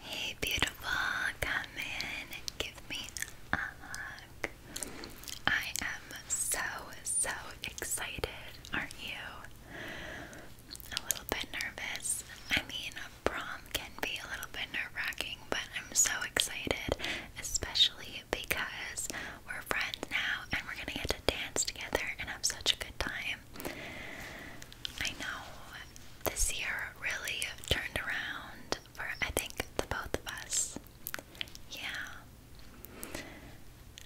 Hey beautiful, come in and give me a hug. I am so, so excited, aren't you? A little bit nervous. I mean, a prom can be a little bit nerve wracking, but I'm so excited, especially because we're friends now and we're gonna get to dance together and have such a good time. I know this year really turned around for I think the both of us. Yeah.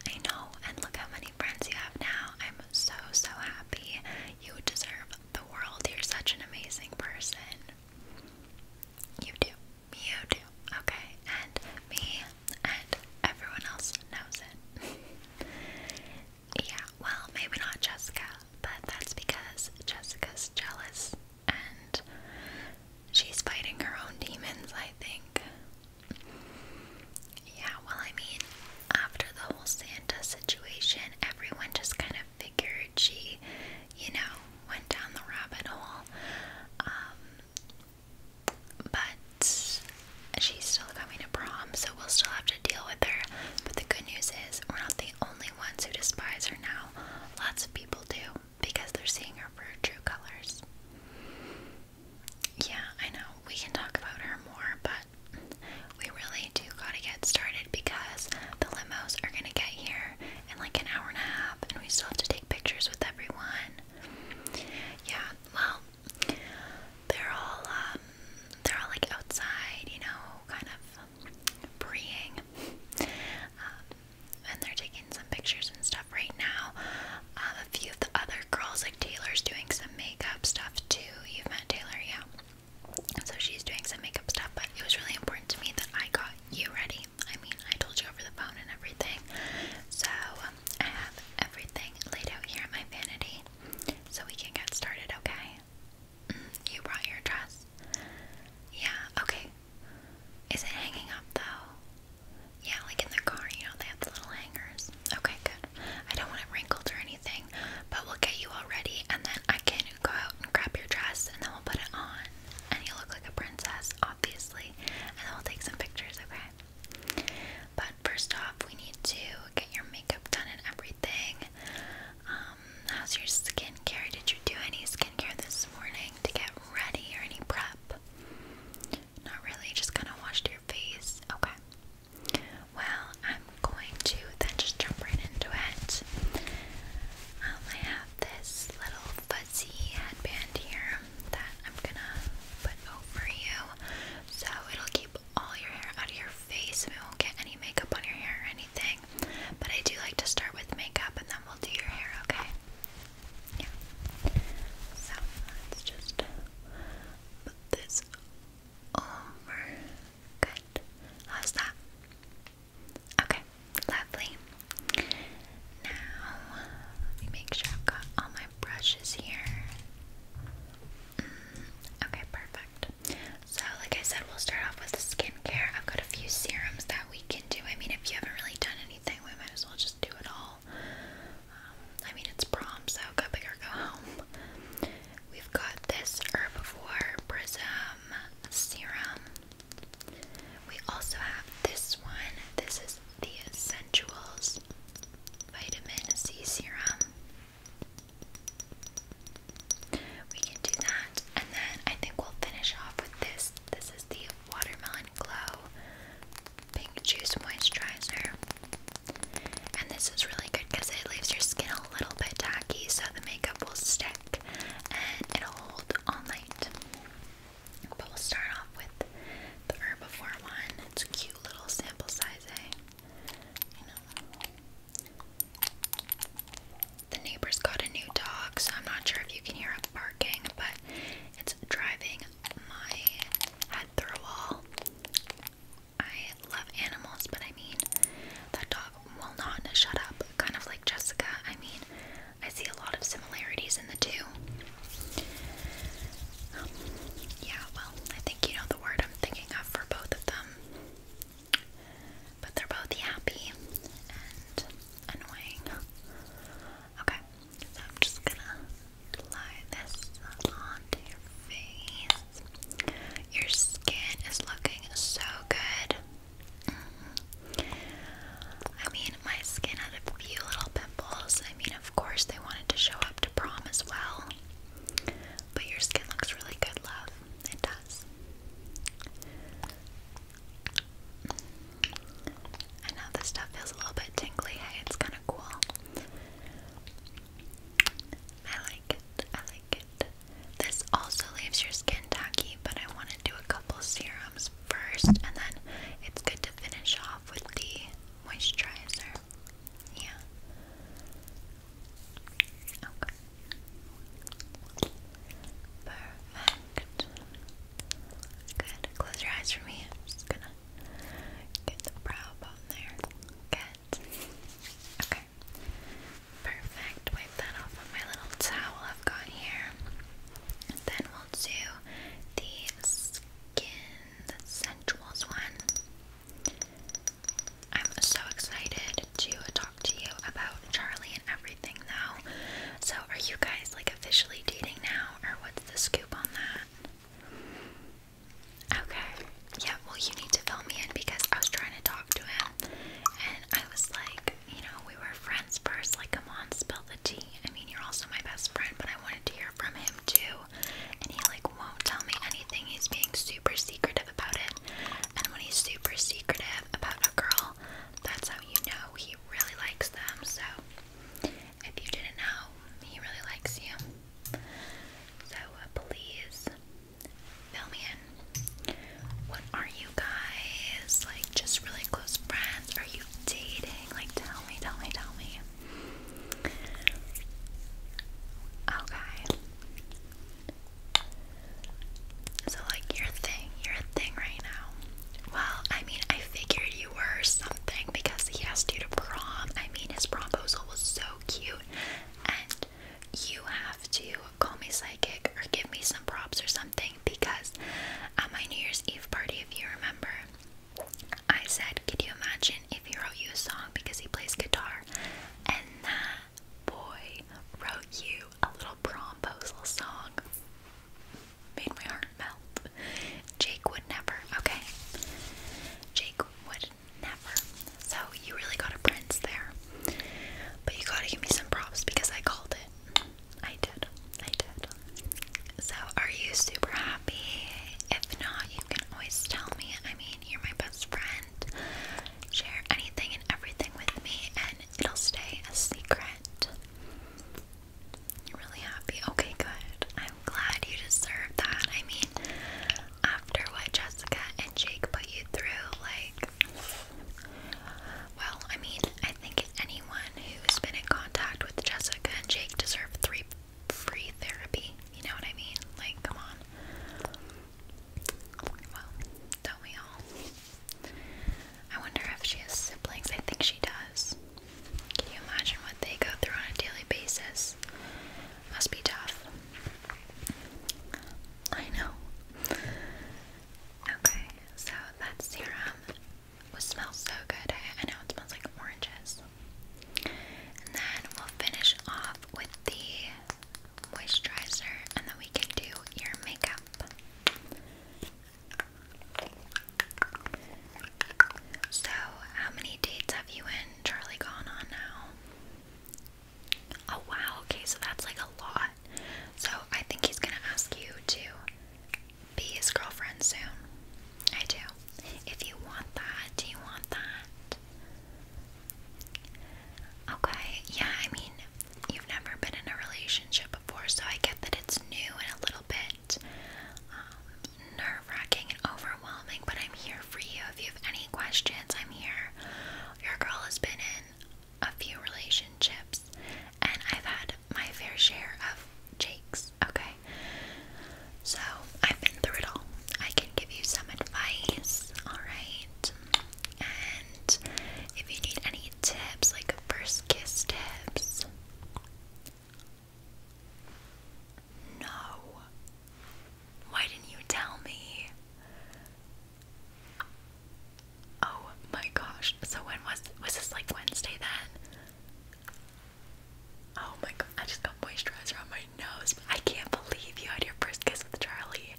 I know, and look how many friends you have now. I'm so so happy. You deserve the world. You're such an amazing person. You do. You do. Okay. And me and everyone else knows it. Yeah, well, maybe not Jessica, but that's because Jessica's jealous and she's fighting her own demons, I think. Yeah, well, I mean, after the whole Santa situation, everyone just kind of figured she, you know, went down the rabbit hole. Um, but she's still coming to prom, so we'll still have to deal with her but the good news is, we're not the only ones who despise her now. Lots of people do because they're seeing her for her true colors. Yeah, I know. We can talk about her more, but we really do gotta get started because the limos are gonna get here in like an hour and a half, and we still have to take pictures with everyone. Yeah, well, they're all um, they're all like outside, you know, kind of preying. Um, and they're taking some pictures and stuff right now. Um, a few of the other girls, like Taylor's doing some makeup stuff too. You've met Taylor, yeah. So she's doing some makeup stuff, but it was really important to me that I got you ready. I mean, I told you over the phone and everything. So um, I have everything laid out here in my vanity so we can get started, okay? You brought your dress? Yeah, okay. Is it hanging up though? Yeah, like in the car, you know, they have the little hangers. Okay, good. I don't want it wrinkled or anything, but we'll get you all ready and then I can go out and grab your dress and then we'll put it on. And you look like a princess, obviously. And then we'll take some pictures, okay? But first off, we need to get your makeup done and everything. Um, how's your skincare? Did you do any skincare this morning to get ready or any prep? Not really, just kind of washed your face. Okay. Well, I'm going to then just jump right into it. Um, I have this little fuzzy headband here that I'm gonna put over you so it'll keep all your hair out of your face. We won't get any makeup on your hair or anything. But I do like to start with makeup and then we'll do your hair, okay? Yeah. So let's just put this over. Good. How's that? Okay, lovely. Now, let me make sure I've got all my brushes here. Okay, perfect. So, like I said, we'll start off with the skincare. I've got a few serums that we can do. I mean, if you haven't really done anything, we might as well just do it all. Um, I mean, it's prom, so go big or go home. We've got this Herbivore Prism Serum. We also have this one. This is the Essentials Vitamin C Serum. We can do that, and then I think we'll finish off with this. This is the Watermelon Glow Pink Juice Moisturizer. And this is really good because it leaves your skin a little bit tacky, so the makeup will stick and it'll hold all night. But we'll start off with the Herbivore one. It's a cute little sample size, eh? The neighbors got a new dog, so I'm not sure if you can hear it barking, but it's driving my head through a wall. I love animals, but I mean, that dog will not shut up. Kind of like Jessica. I mean, I see a lot of similarities in the two. Um, yeah, well, I think you know the word I'm thinking of for both of them. But they're both happy and annoying. Okay, so I'm just gonna apply this onto your face. Your skin is looking so good. Mm-hmm. I mean, my skin had a few little pimples. I mean, of course, they wanted to show up to prom as well. But your skin looks really good, love it does. I know this stuff feels a little bit tingly, it's kind of cool. I like it, I like it. This also leaves your skin tacky, but I want to do a couple serums first, and then it's good to finish off with the moisturizer. Yeah. Okay. Perfect. Good. Close your eyes for me. just gonna get the brow bone there. Good. Okay. Perfect. Wipe that off with my little towel I've got here. then we'll do the skin, sensuals one. I'm so excited to talk to you about Charlie and everything now. So, are you guys like officially dating now, or what's the scoop on that? Okay, yeah, well, you need to fill me in because I was trying to talk to him and I was like, you know, we were friends first. Like, come on, spill the tea. I mean, you're also my best friend, but I wanted to hear from him too. And he like won't tell me anything. He's being super secretive about it and when he's super secretive about a girl, that's how you know he really likes them. So, if you didn't know, he really likes you. So, uh, please fill me in. What are you guys? Like, just really close friends? Are you dating? Like, tell me, tell me, tell me. Okay. So, like, your thing, you thing right now. Well, I mean, I figured you were something because he asked you to prom. I mean, his proposal was so cute, and you have to call me psychic or give me some props or something because at my New Year's Eve party, if you remember, I said, Could you imagine if he wrote you a song because he plays guitar? And that boy wrote you a little promposal song. Made my heart melt. Jake would never, okay? Jake would never. So you really got a prince there. But you gotta give me some props because I called it. I did. I did. So are you super happy? If not, you can always tell me. I mean, you're my best friend share anything and everything with me, and it'll stay a secret. You're really happy? Okay, good. I'm glad you deserve that. I mean, after what Jessica and Jake put you through, like, well, I mean, I think anyone who's been in contact with Jessica and Jake deserve three free therapy. You know what I mean? Like, come on. Well, don't we all? I wonder if she has siblings. I think she does. Can you imagine what they go through on a daily basis? Must be tough. I know. Okay, so that serum was smells so good. I know it smells like oranges. And then we'll finish off with the moisturizer, and then we can do your makeup. So, how many dates have you and Charlie gone on now? Oh, wow. Okay, so that's like a lot. So, I think he's gonna ask you to be his girlfriend soon. I do. If you want that, do you want that? Okay, yeah, I mean, you've never been in a relationship before, so I get that it's new and a little bit um, nerve wracking and overwhelming, but I'm here for you. If you have any questions, I'm here. Your girl has been in a few relationships, and I've had my fair share of jakes, okay? So I've been through it all. I can give you some advice, alright? And if you need any tips, like first kiss tips. No. Why didn't you tell me? Oh my gosh. So when was was this like Wednesday then? Oh my god, I just got moisturizer on my nose. I can't believe you had your first kiss with Charlie.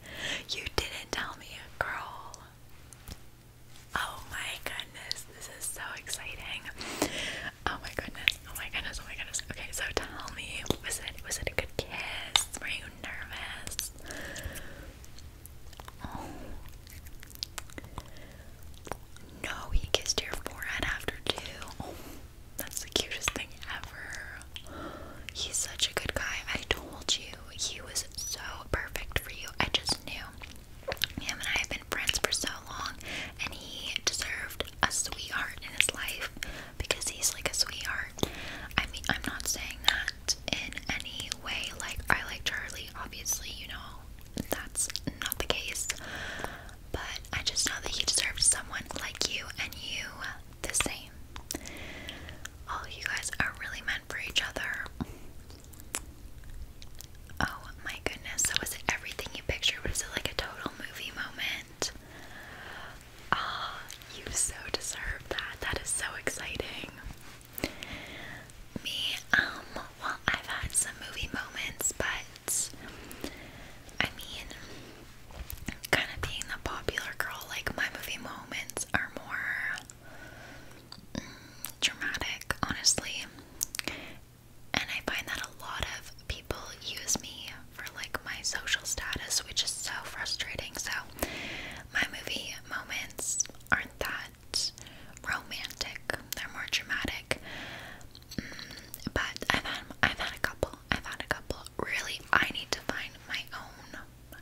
You didn't tell me, girl. Oh my goodness, this is so exciting. Oh my goodness, oh my goodness, oh my goodness. Okay, so tell me, was it was it a good kiss? Were you nervous? Oh. no, he kissed your forehead after two. Oh, that's the cutest thing ever. He's such a good guy. I told you he was so perfect for you. I just knew. Him and I have been friends for so long, and he deserved a sweetheart in his life because he's like a sweetheart. I mean, I'm not saying that in any way. Like, I like Charlie, obviously, you know, that's not the case. But I just know that he deserved someone like you, and you the same me. Oh, you guys are really meant for each other. Oh my goodness. So was it everything you pictured? Was it like a total movie moment? Ah, you so deserve that. That is so exciting. Me, um, well, I've had some movie moments, but I mean, kind of being the popular girl, like my movie moments are more dramatic, honestly. And I find that a lot of people use me for like my social status, which is so frustrating. So, my movie moments aren't that romantic, they're more dramatic. Mm, but I've had, I've had a couple, I've had a couple. Really, I need to find my own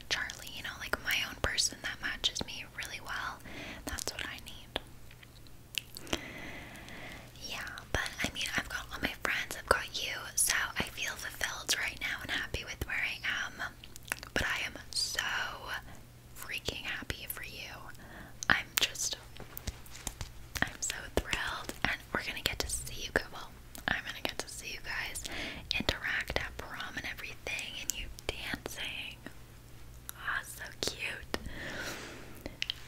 Charlie, you know, like my own person that matches me really well. That's what I need. Yeah, but I mean, I've got all my friends, I've got you, so I feel fulfilled right now and happy with where I am. But I am so freaking happy for you. I'm just, I'm so thrilled, and we're gonna get to see you go. Well, I'm gonna get to see you guys interact at prom and everything, and you dancing. Ah, so cute.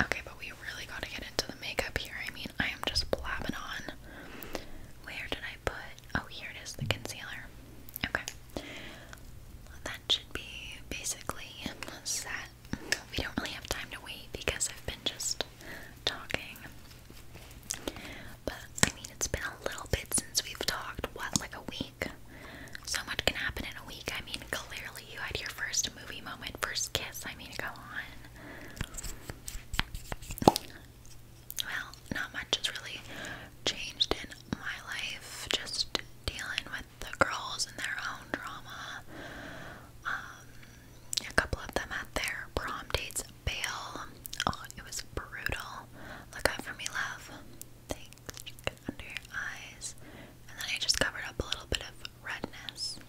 Okay, but we really gotta get into the makeup here. I mean, I am just blabbing on. Where did I put? Oh, here it is, the concealer. Okay, that should be basically set. We don't really have time to wait because I've been just talking but I mean, it's been a little bit since we've talked. What, like a week? So much can happen in a week. I mean, clearly you had your first movie moment, first kiss. I mean, go on. Well, not much has really changed in my life. Just dealing with the girls and their own drama. Um, a couple of them had their prom dates bail. Oh, it was brutal. Look out for me, love. Thanks. under your eyes. And then I just covered up a little bit of redness.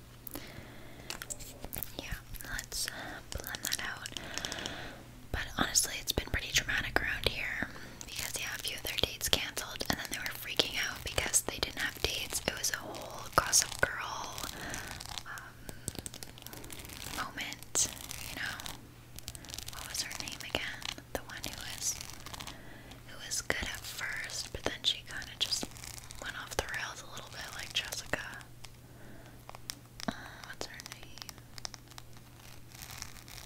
Yeah, let's uh, blend that out. But honestly, it's been pretty dramatic around here because, yeah, a few of their dates canceled and then they were freaking out because they didn't have dates. It was a whole gossip girl um, moment, you know? what was her name again? The one who was who was good at first, but then she kind of just went off the rails a little bit, like Jessica. Uh, what's her name?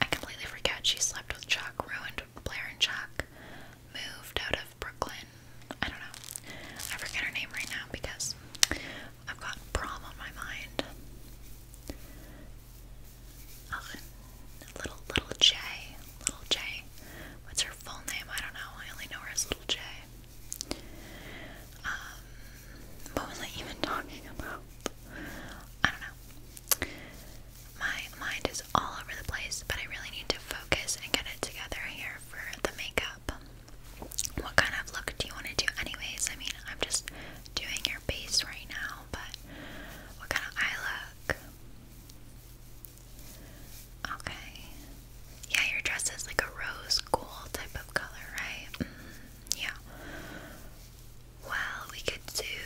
I completely forget. She slept with Chuck, ruined Blair and Chuck, moved out of Brooklyn. I don't know. I forget her name right now because I've got prom on my mind. Oh, little little J, little J. What's her full name? I don't know. I only know her as little J. Um, what was I even talking about? I don't know. My mind is all over the place, but I really need to focus and get it together here for the makeup what kind of look do you want to do anyways? I mean, I'm just doing your base right now, but what kind of eye look? Okay. Yeah, your dress is like a rose gold type of color, right? Mm, yeah. Well, we could do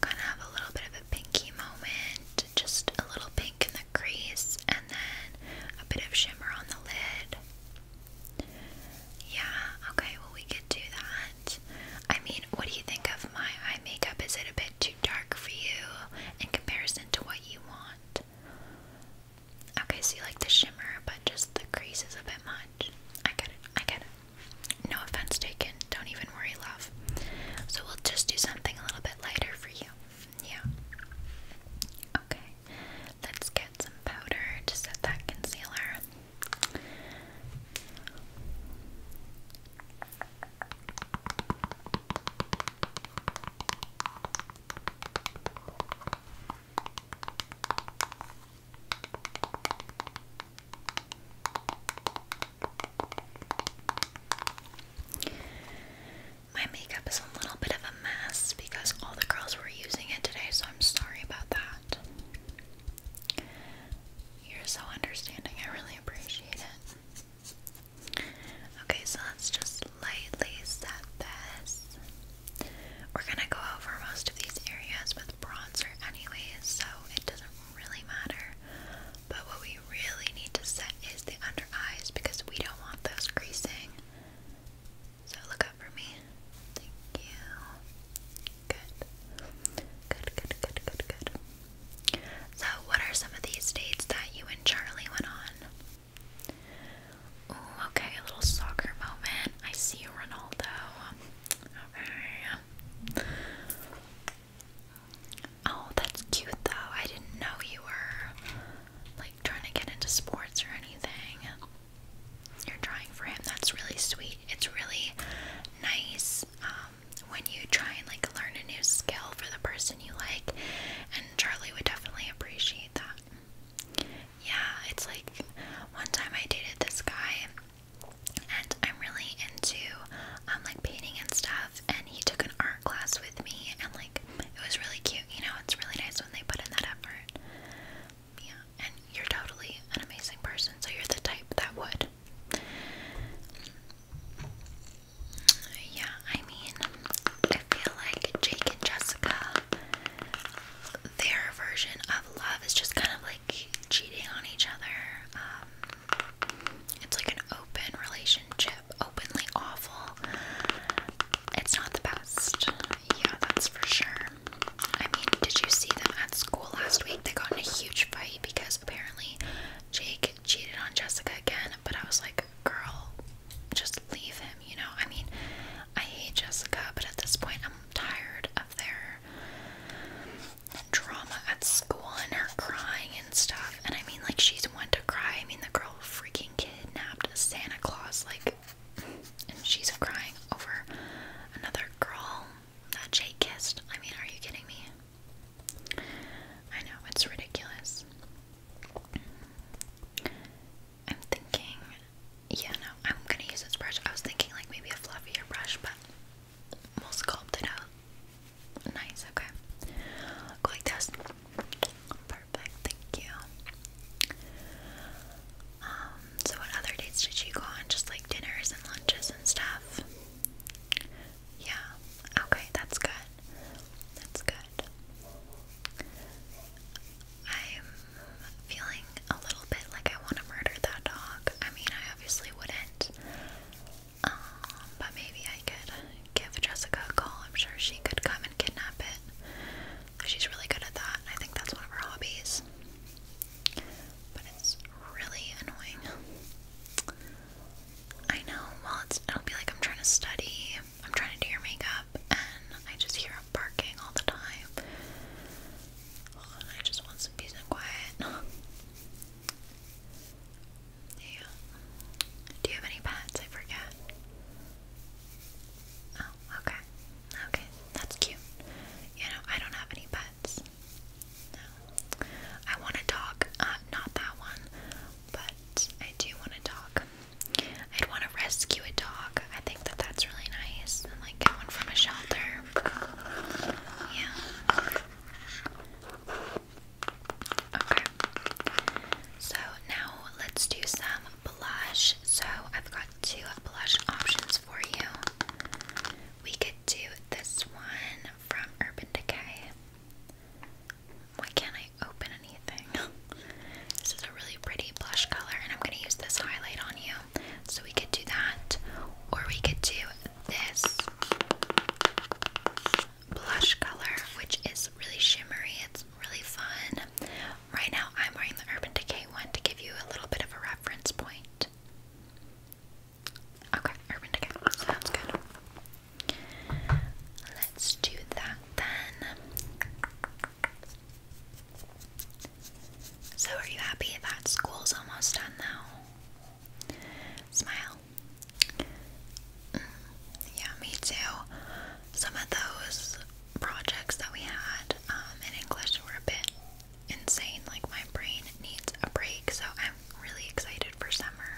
kind of have a little bit of a pinky moment, just a little pink in the crease, and then a bit of shimmer on the lid. Yeah, okay, well, we could do that. I mean, what do you think of my eye makeup? Is it a bit too dark for you in comparison to what you want? Okay, so you like the shimmer, but just the crease is a bit much. I get it, I get it. No offense taken, don't even worry, love. So we'll just do something a little bit lighter for you. Yeah. Okay, let's get some powder to set that concealer. My makeup is a little bit of a mess because all the girls were using it today, so I'm sorry about that. You're so understanding. I really appreciate it. Okay, so let's just lightly set this. We're gonna go over most of these areas with bronzer anyways, so it doesn't really matter. But what we really need to set is the under eyes because we don't want those creasing. So look up for me. Thank you. Good. Good, good, good, good, good. So what are some of these dates that you and Charlie went on? Ooh, okay, a little soccer moment. I see Ronaldo. Okay. Oh, that's cute though. I didn't know you were like trying to get into sports or anything you're trying for him. That's really sweet. It's really nice um, when you try and like learn a new skill for the person you like, and Charlie would definitely appreciate that. Yeah, it's like one time I dated this guy, and I'm really into um, like painting and stuff, and he took an art class with me, and like it was really cute. You know, it's really nice when they put in that effort yeah, and you're totally an amazing person, so you're the type that would. Yeah, I mean, I feel like Jake and Jessica, their version of love is just kind of like cheating on each other. Um, it's like an open relationship, openly awful. It's not the best. Yeah, that's for sure. I mean, did you see them at school last week? They got in a huge fight because apparently Jake cheated on Jessica again, but I was like, girl, just leave him, you know? I mean, I hate Jessica, but at this point, I'm tired of their drama at school and her crying and stuff. And I mean, like, she's one to cry. I mean, the girl freaking kidnapped Santa Claus. Like, and she's crying over another girl that Jake kissed. I mean, are you kidding me? I know, it's ridiculous. I'm thinking, yeah, no, I'm gonna use this brush. I was thinking, like, maybe a fluffier brush, but we'll sculpt it out. Nice, okay. Go like Perfect, thank you. Um, so what other dates did you go on? Just like dinners and lunches and stuff? Yeah. Okay, that's good. That's good. I'm feeling a little bit like I want to murder that dog. I mean, I obviously wouldn't. Um, but maybe I could give Jessica a call. I'm sure she could come and kidnap it. She's really good at that. I think that's one of her hobbies. But it's really annoying. I know, well, it'll be like I'm trying to study, I'm trying to do your makeup, and I just hear it barking all the time. I just want some peace and quiet. Yeah. Do you have any pets? I forget. Oh, okay. Okay, that's cute. You know, I don't have any pets. No. I want a dog. Uh, not that one, but I do want a dog. I'd want to rescue a dog. I think that that's really nice. like get one from a shelter. Yeah. Okay. So now let's do some blush. So I've got two blush options for you. We could do this one from Urban Decay. Why can't I open anything? this is a really pretty blush color, and I'm going to use this highlight on you. So we could do that, or we could do this blush color, which is really shimmery. It's really fun. Right now, I'm wearing the Urban Decay one to give you a little bit of a reference point. Okay, Urban Decay. Sounds good. Let's do that then. So, are you happy that school's almost done now? Smile. Mm, yeah, me too. Some of those projects that we had um, in English were a bit insane. Like, my brain needs a break, so I'm really excited for summer.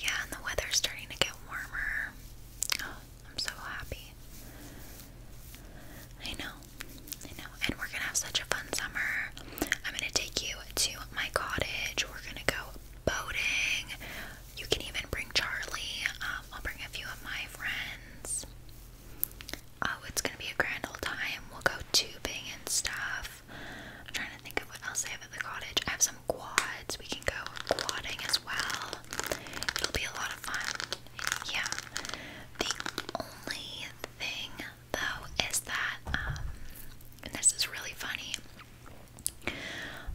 Yeah, and the weather's starting to get warmer. I'm so happy. I know, I know. And we're gonna have such a fun summer. I'm gonna take you to my cottage. We're gonna go boating. You can even bring Charlie. Um, I'll bring a few of my friends. Oh, it's gonna be a grand old time. We'll go tubing and stuff. I'm trying to think of what else I have at the cottage. I have some quads. We can go quadding as well. It'll be a lot of fun. Yeah. The only thing though is that um and this is really funny.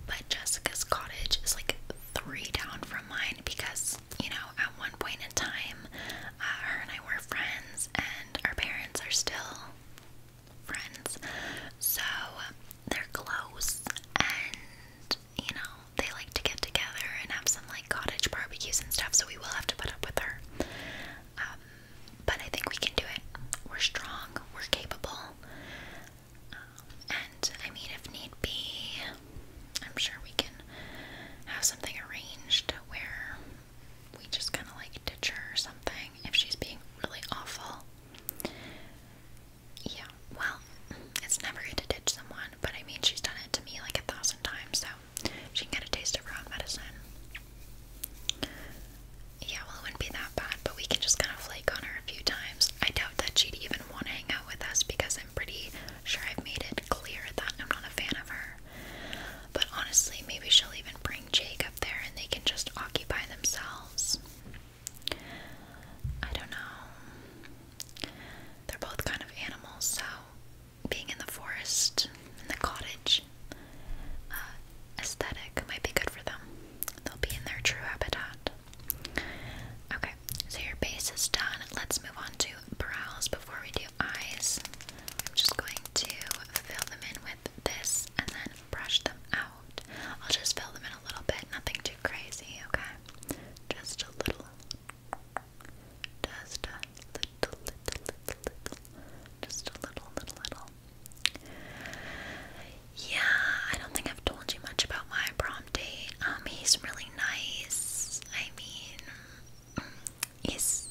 But Jessica's cottage is like three down from mine because you know, at one point in time, uh, her and I were friends, and our parents are still friends. So they're close, and you know, they like to get together and have some like cottage barbecues and stuff. So we will have to put up with her. Um, but I think we can do it. We're strong. We're capable. Um, and I mean, if need be, I'm sure we can have something arranged where we just kind of like ditch her or something if she's being really awful. Yeah, well, it's never good to ditch someone, but I mean, she's done it to me like a thousand times, so she can get a taste of her own medicine. Yeah, well, it wouldn't be that bad, but we can just kind of flake on her a few times. I doubt that she'd even want to hang out with us because I'm pretty sure I've made it it clear that I'm not a fan of her. But honestly, maybe she'll even bring Jake up there and they can just occupy themselves. I don't know. They're both kind of animals, so being in the forest, in the cottage, uh, aesthetic might be good for them. They'll be in their true habitat. Okay, so your base is done. Let's move on to brows before we do eyes. I'm just going to fill them in with this and then brush them out. I'll just fill them in a little bit, nothing too crazy, okay? Just a little. Just a little, Yeah, I don't think I've told you much about my prom date. Um, he's really nice. I mean, he's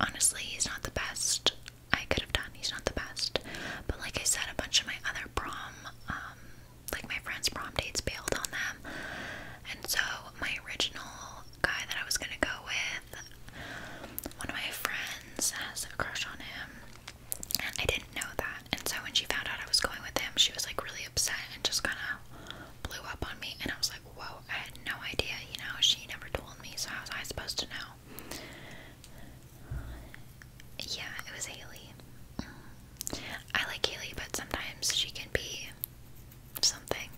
honestly he's not the best I could have done. He's not the best. But like I said, a bunch of my other prom, um, like my friends' prom dates bailed on them. And so my original guy that I was gonna go with, one of my friends has a crush on him. And I didn't know that. And so when she found out I was going with him, she was like really upset and just kinda blew up on me and I was like whoa, I had no idea, you know, she never told me, so how was I supposed to know? Yeah, it was Haley. Mm. I like Haley, but sometimes she can be something.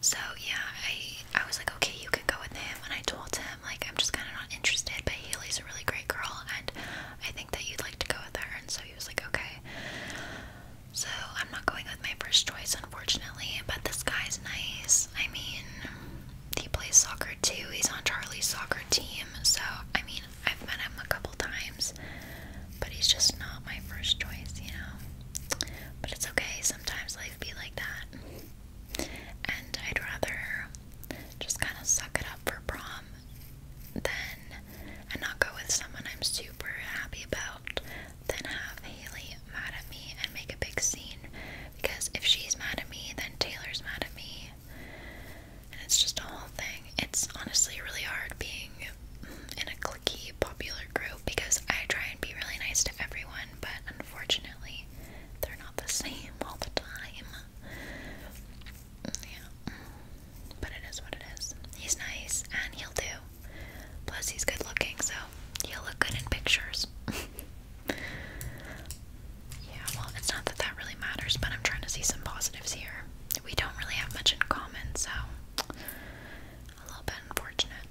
So yeah, I I was like, okay, you can go with him, and I told him like I'm just kind of not interested, but Haley's a really great girl, and I think that you'd like to go with her, and so he was like, okay. So I'm not going with my first choice, unfortunately, but this guy's nice. I mean, he plays soccer too. He's on Charlie's soccer team. So, I mean, I've met him a couple times, but he's just not my first choice, you know? But it's okay. Sometimes life be like that. And I'd rather just kind of suck it up for prom than and not go with someone I'm super happy about then have Haley mad at me and make a big scene because if she's mad at me, then Taylor's mad at me. And it's just a whole thing. It's honestly really hard being in a clicky, popular group because I try and be really nice to everyone, but unfortunately, they're not the same all the time. Yeah. But it is what it is. He's nice and he'll do. Plus, he's good looking, so he'll look good in pictures. yeah, well, it's not that that really matters, but I'm trying to see some positives here. We don't really have much in common, so a little bit unfortunate.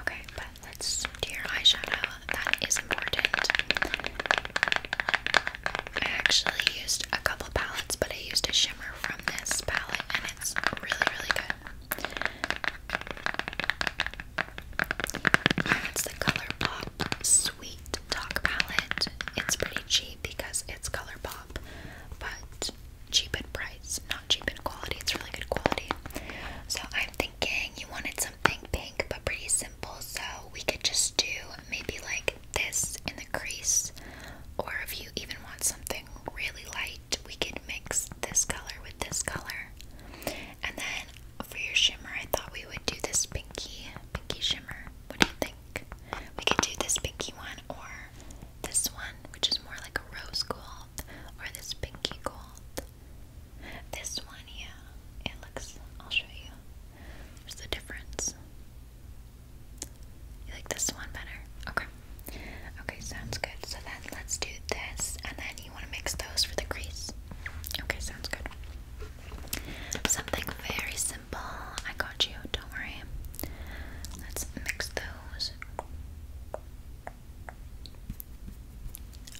Okay, but let's do your eyeshadow. That is important. I actually used a couple palettes, but I used a shimmer from this palette, and it's really, really good. It's the ColourPop Sweet Talk palette. It's pretty cheap because it's ColourPop, but cheap in price, not cheap in quality. It's really good quality. So I'm thinking you wanted something pink but pretty simple, so we could just do maybe like this in the crease, or if you even want something really light we could mix this color with this color. And then for your shimmer, I thought we would do this pinky, pinky shimmer. What do you think? We could do this pinky one or this one, which is more like a rose gold, or this pinky gold. This one, yeah, it looks, I'll show you. There's the difference. You like this one better? Okay. Okay, sounds good. So then let's do this, and then you want to mix those for the crease. Okay, sounds good. Something very simple. I got you. Don't worry. Let's mix those.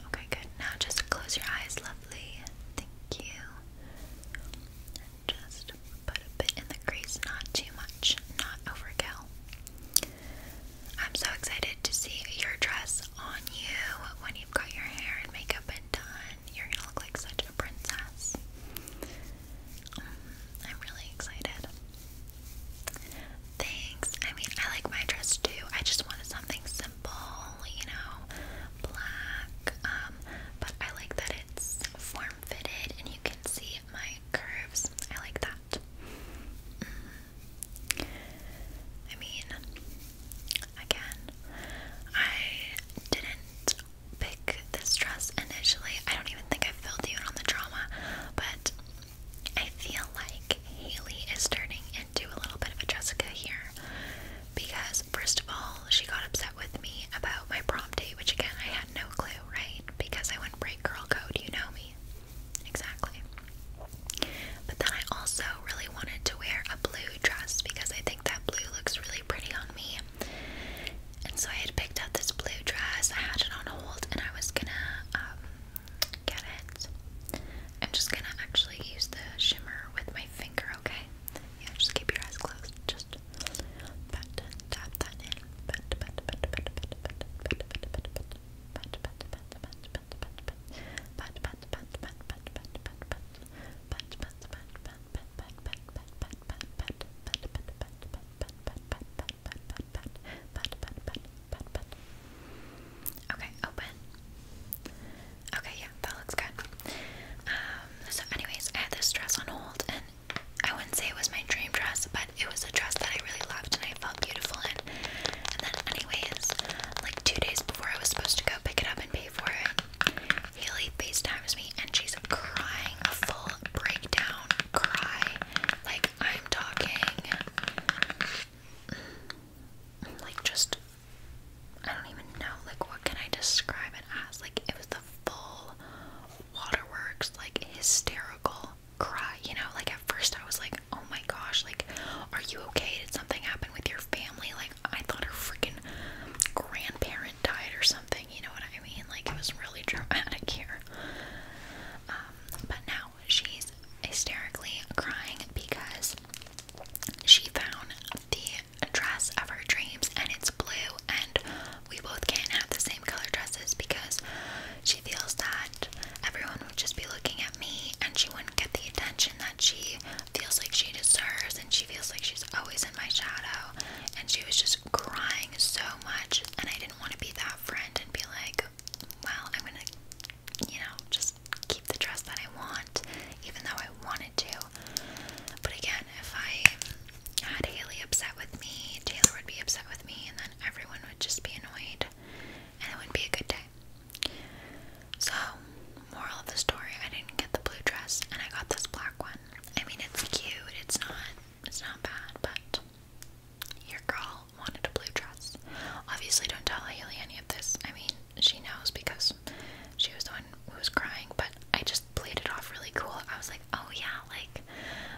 Okay, good. Now just close your eyes, lovely. Thank you. just but a bit in the crease, not too much, not overkill. I'm so excited to see your dress on you when you've got your hair and makeup and done. You're gonna look like such a princess. Mm, I'm really excited. Thanks. I mean, I like my dress too. I just wanted something simple, you know, black. Um, but I like that it's form fitted and you can see my curves. I like that. Mm. I mean, again, I didn't pick this dress initially. I don't even think I filled you in on the drama, but I feel like Haley is turning into a little bit of a Jessica here because, first of all, she got upset with me about my prom date, which again I had no clue, right? Because I went break girl code, you know me. Exactly. But then I also really wanted to wear a blue dress because I think that blue looks really pretty on me. And so I had picked out this blue dress, I had it on hold, and I was gonna um, get it. I'm just gonna actually use the shimmer with my finger, okay? Yeah, just keep your eyes closed. Just pat, tap that in. Okay, open. Okay, yeah, that looks good. Um so anyways, I had this dress on hold and I wouldn't say it was my dream dress, but it was a dress that I really loved and I felt beautiful in. And then, anyways, like two days before I was supposed to go pick it up and pay for it, Haley FaceTimes me and she's crying a full breakdown cry. Like, I'm talking. Like, just. I don't even know. Like, what can I describe it as? Like, it was the full waterworks, like, hysterical cry, you know? Like, at first I was like, oh my gosh, like, are you okay? Did something happen with your family? Like, I thought her freaking grandparent died or something, you know what I mean? Like, it was really dramatic here. Um, but now she's hysterically crying because she found the dress of her dreams and it's blue and we both can't have the same color dresses because she feels that everyone would just be looking at me and she wouldn't get the attention that she feels like she deserves and she feels like she's always in my shadow and she was just crying so much and I didn't want to be that friend and be like well I'm gonna you know just keep the dress that I want even though I wanted to but again if I had Haley upset with me Taylor would be upset me, and then everyone would just be annoyed, and it wouldn't be a good day. So, moral of the story: I didn't get the blue dress, and I got this black one. I mean, it's cute. It's not. It's not bad, but your girl wanted a blue dress. Obviously, don't tell Haley any of this. I mean, she knows because she was the one who was crying. But I just played it off really cool. I was like, oh yeah, like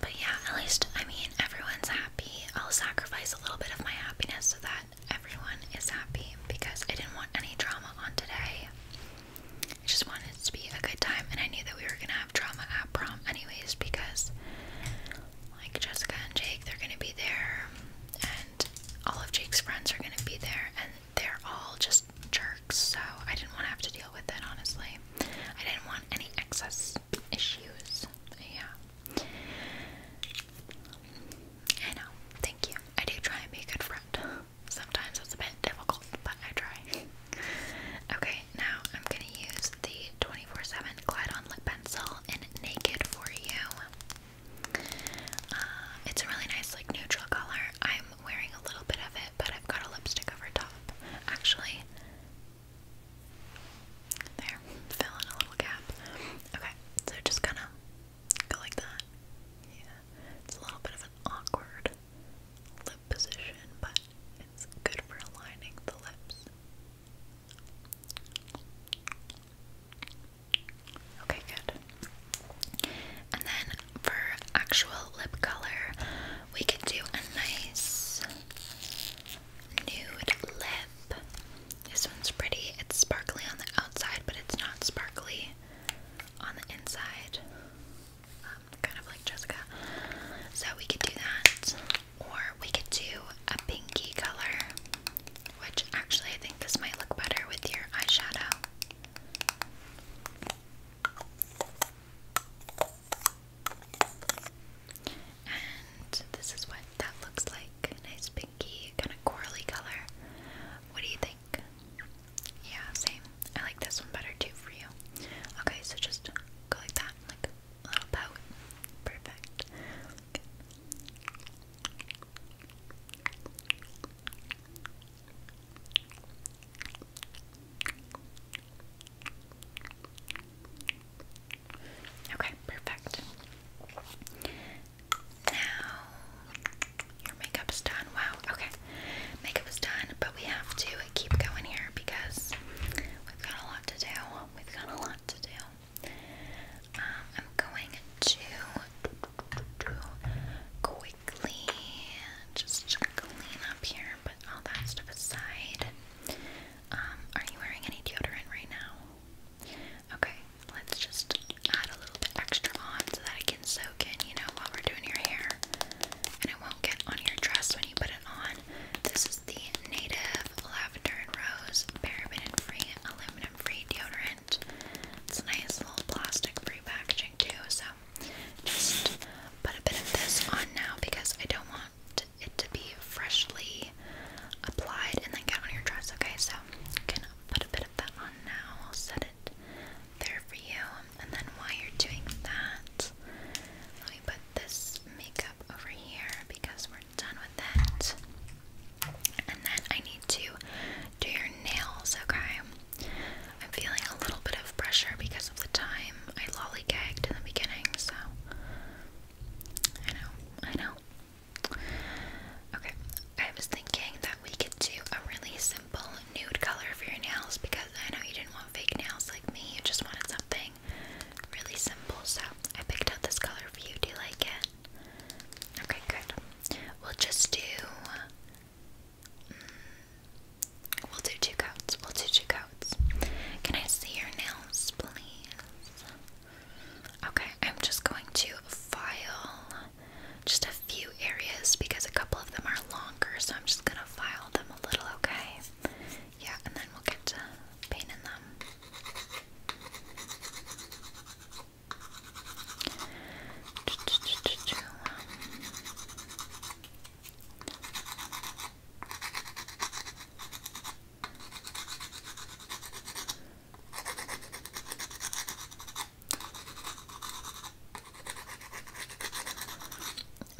but yeah, at least, I mean, everyone's happy. I'll sacrifice a little bit of my happiness so that everyone is happy because I didn't want any drama on today. I just wanted to be a good time, and I knew that we were gonna have drama at prom, anyways, because like Jessica and Jake, they're gonna be there, and all of Jake's friends are gonna be there, and they're all just jerks, so I didn't want to have to deal with it, honestly. I didn't want any excess issues. Yeah. I know. Thank you. I do try and be a good friend. Sometimes it's a bit difficult, but I try. okay, now I'm gonna use the 24 7 Glide On Lip Pencil in Naked for You. Uh, it's a really nice, like, neutral color. I'm wearing a little bit of it, but I've got a lipstick over top. Actually, there, fill in a little gap. Okay, so just kind of go like that. Yeah, it's a little bit of an awkward lip position, but it's good for aligning the lips. Okay, good. And then for actual lip color, we could do a nice nude lip. This one's pretty. It's sparkly on the outside, but it's not sparkly on the inside. Um, kind of like Jessica. So we could do that. Or we could do a pinky color, which actually I think this might look better with your eyeshadow. And this is what that looks like. Nice pinky, kind of corally color. What do you think? Yeah, same. I like this one better too for you. Okay, so just go like that, like a little pout. Perfect. Okay, perfect. Now, your makeup is done. Wow, okay. Makeup is done, but we have to keep going here because we've got a lot to do. We've got a lot to do. Um, I'm going to do quick just clean up here but all that stuff aside. Um, are you wearing any deodorant right now? Okay, let's just add a little extra on so that it can soak in, you know, while we're doing your hair. And it won't get on your dress when you put it on. This is the Native Lavender and Rose Paraben-free, aluminum-free deodorant. It's nice little plastic-free packaging too, so just put a bit of this on now because I don't want it to be freshly applied and then get on your dress, okay? So I'm gonna put a bit of that on now. I'll set it there for you. And then while you're doing that, let me put this makeup over here because we're done with it. And then I need to do your nails, okay? I'm feeling a little bit of pressure because of the time I lollygagged in the beginning, so I know, I know. Okay, I was thinking that we could do a really simple nude color for your nails because I know you didn't want fake nails like me, you just wanted something really simple, so I picked out this color for you. Do you like it? Okay, good. We'll just do We'll do two coats. We'll do two coats. Can I see your nails, please? Okay, I'm just going to file just a few areas because a couple of them are longer, so I'm just gonna file them a little, okay? Yeah, and then we'll get to painting them.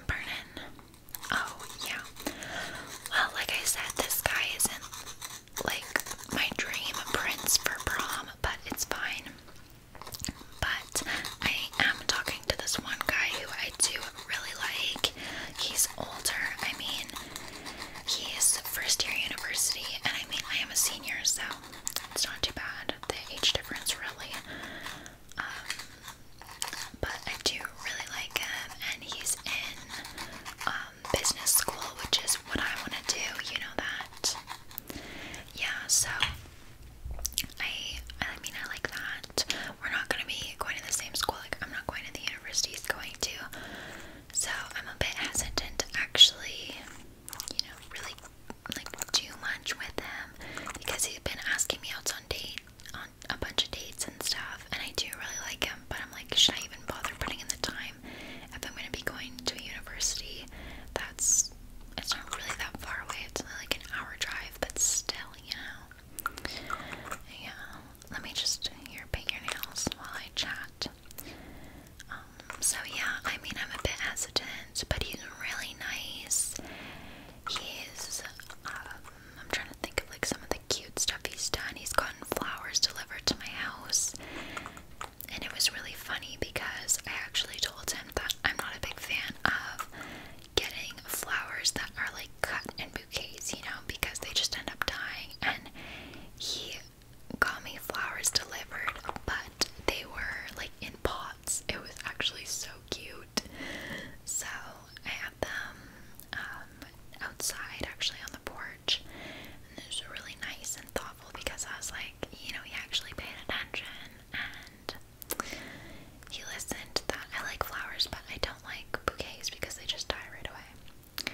Burnin. Oh, yeah. Well, like I said, this guy isn't like my dream prince for prom, but it's fine. But I am talking to this one guy who I do really like. He's older. I mean, he is first year university, and I mean, I am a senior, so it's not too bad. The age difference, really. Um, but I do really like him, and he's in um, business school, which is what I want to do. You know that. Yeah, so I I mean I like that. We're not gonna be going to the same school, like I'm not going to the university he's going to. So I'm a bit hesitant to actually, you know, really like do much with him because he's been asking me out on date on a bunch of dates and stuff and I do really like him but I'm like should I even bother putting in the time if I'm gonna be going to a university that's it's not really that far away. It's only like an hour drive, but still, you Yeah. Let me just here paint your nails while I chat. Um, so yeah, I mean I'm a bit hesitant, but he's really nice. He's um, I'm trying to think of like some of the cute stuff he's done. He's gotten flowers delivered to my house. And it was really funny because I actually told him that I'm not a big fan of getting flowers that are like cut in bouquets, you know, because they just end up dying. And he got me flowers delivered, but they were like in pots. It was actually so cute. So I had them um, outside, actually on the porch, and it was really nice and thoughtful because I was like, you know, he actually paid attention and he listened that. I like flowers, but I don't like bouquets because they just die right away.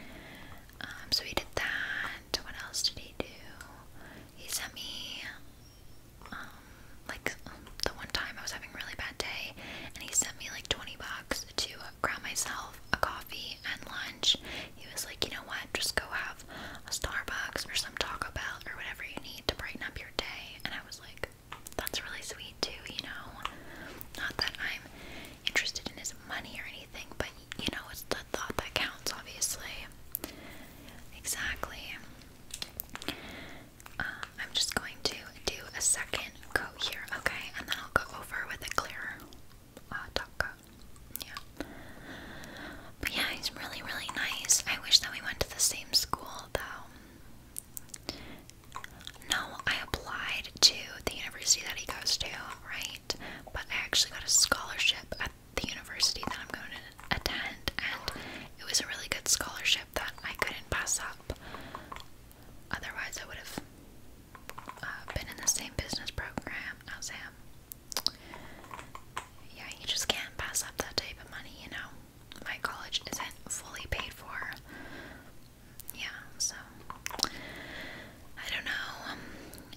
Um, so he did that. What else did he do? He sent me, um, like the one time I was having a really bad day, and he sent me like 20 bucks to grab myself a coffee and lunch. He was like, you know what, just go have a Starbucks or some Taco Bell or whatever you need to brighten up your day. And I was like, that's really sweet too, you know. Not that I'm interested in his money or anything, but you know, it's the thought that counts, obviously. Exactly. Uh, I'm just going to do a second coat here, okay? And then I'll go over with a clearer uh, top coat. Yeah. But yeah, he's really, really nice. I wish that we went to the same school, though. No, I applied to the university that he goes to, right? But I actually got a scholarship at the university that I'm going to attend, and it was a really good scholarship that I couldn't pass up. Otherwise, I would have uh, been in the same business program as him. Yeah, you just can't pass up that type of money, you know? my college isn't fully paid for. Yeah, so I don't know. Um,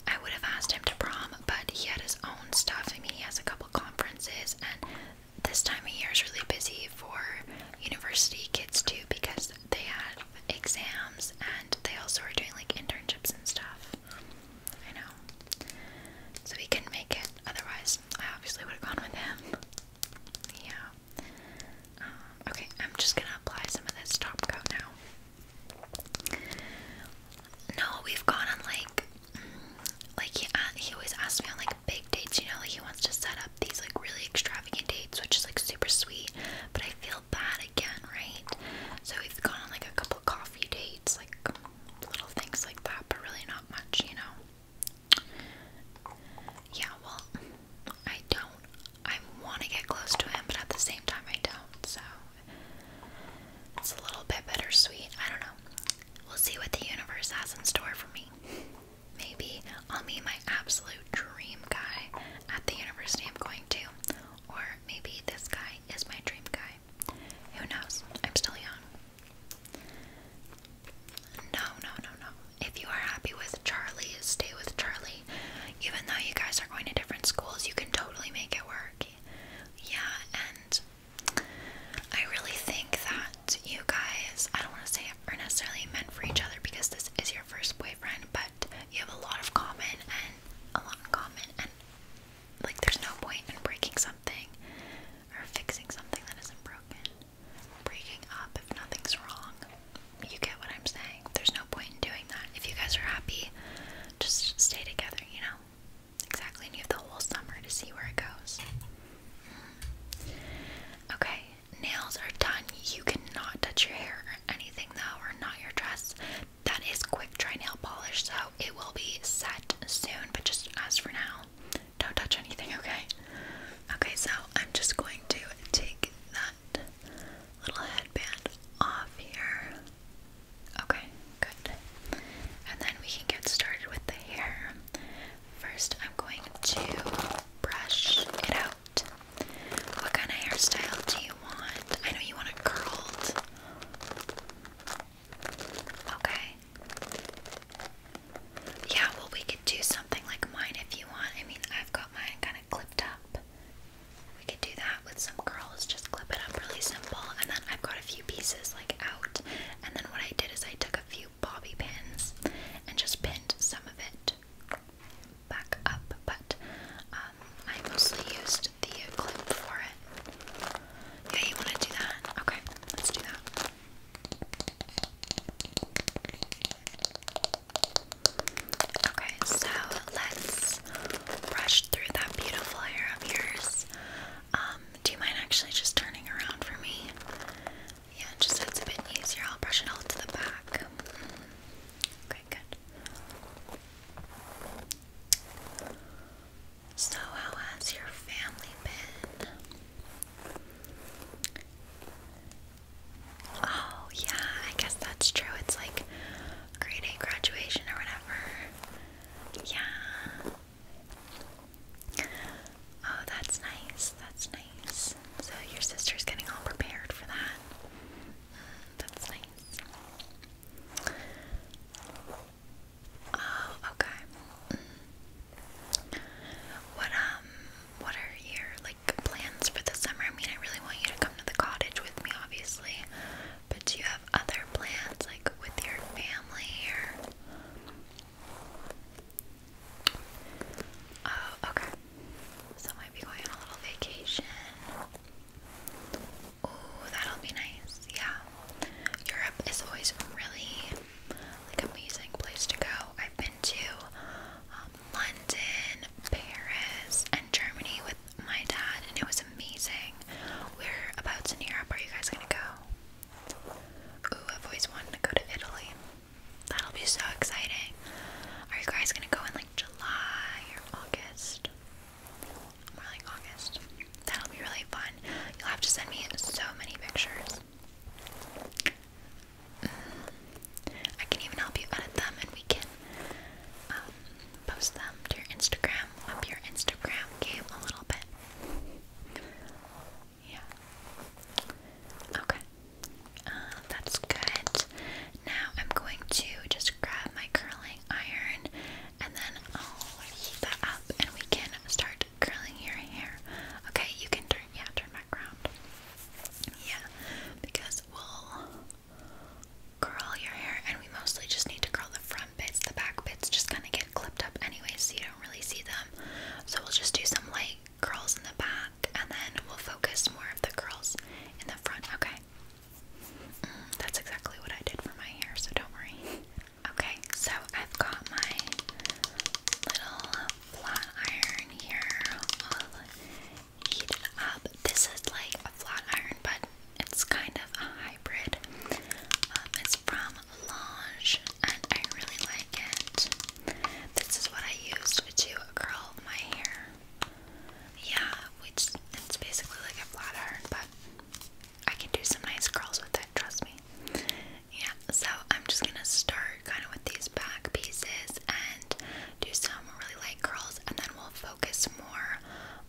I would have asked him to prom, but he had his own stuff. I mean, he has a couple conferences, and this time of year is really busy for university kids too because they had exams and they also were doing like internships and stuff. I know. So he couldn't make it. Otherwise, I obviously would have gone with him. Yeah. Um, okay, I'm just gonna apply some of this top coat now. No, we've gone on like, mm, like he uh, he always asks me on like big dates. You know, like he wants to set up these like really extravagant dates, which is like super sweet. But I feel bad again, right? So we've gone on like a couple coffee dates, like little things like that, but really not much, you know. Yeah, well, I don't. I want to get close to him, but at the same time, I don't. So it's a little bit bittersweet. I don't know. We'll see what the universe has in store for me. Maybe I'll meet my absolute dream guy at the university I'm going to, or maybe this guy is my dream guy. Who knows? I'm still young. No, no, no, no. If you are happy with Charlie, stay with Charlie. Even though you guys are going to different schools, you can totally make it work. Yeah, and I really think that you guys, I don't want to say are necessarily meant for each other because this is your first boyfriend, but you have a lot of common and a lot in common, and like there's no point in breaking something or fixing something that isn't broken breaking up if nothing's wrong. You get what I'm saying. There's no point in doing that. If you guys are happy, just stay together, you know? Exactly, and you have the whole summer to see where it goes. Mm-hmm. Okay, nails are done. You cannot touch your hair or anything, though, or not your dress. That is quick dry nail polish, so it will be set soon, but just as for now, don't touch anything, okay? Okay, so I'm just going to take that little headband off here. Okay, good. And then we can get started with the hair. First, I'm going to brush it out. What kind of hairstyle do you want? I know you want a curled. Okay. Yeah, well, we could do something like mine if you want. I mean, I've got mine kind of clipped up. We could do that with some curls, just clip it up really simple. And then I've got a few pieces like out. And then what I did is I took a few bobby pins and just pinned some of it back up. But um, I mostly used the clip for it. Yeah, you want to do that? Okay, let's do that. Okay, so let's brush through that beautiful hair of yours. Um, do you mind actually just turning around for me? Yeah, just that's a bit easier. I'll brush it all to the back. Okay, good. So, how has your family been? Oh, yeah, I guess that's true. It's like grade 8 graduation or whatever. Yeah. Oh, that's nice. That's nice. So your sister's getting all prepared for that. Mm, that's nice. Oh, okay. Mm. What um what are your like plans for the summer? I mean I really want you to come to the cottage with me obviously. But do you have other plans like with your family Here. Oh, okay. So I might be going on a little vacation. Oh, that'll be nice. Yeah. Europe is always really like amazing place to go. I've been to um, London, Paris, and Germany with my dad, and it was amazing. We're about to Europe are you guys gonna go? Ooh, I've always wanted to go to Italy. That'll be so exciting. Are you guys gonna go in like July or August? More like August. That'll be really fun. You'll have to send me so many pictures. I can even help you edit them and we can um, post them to your Instagram, up your Instagram game a little bit. Yeah. Okay. Um, that's good. Now I'm going to just grab my curling iron and then I'll heat that up and we can start curling your hair. Okay, you can turn, yeah, turn back around. Yeah, because we'll curl your hair, and we mostly just need to curl the front bits. The back bits just kind of get clipped up anyway, so you don't really see them. So we'll just do some light curls in the back, and then we'll focus more of the curls in the front. Okay. Mm, that's exactly what I did for my hair, so don't worry. Okay, so I've got my little flat iron here. i up. This is like a flat iron, but it's kind of a hybrid. Um, it's from Lange, and I really like it. This is what I used to curl my hair. Yeah, which it's basically like a flat iron, but I can do some nice curls with it. Trust me. Yeah, so I'm just gonna start kind of with these back pieces and do some really light curls, and then we'll focus more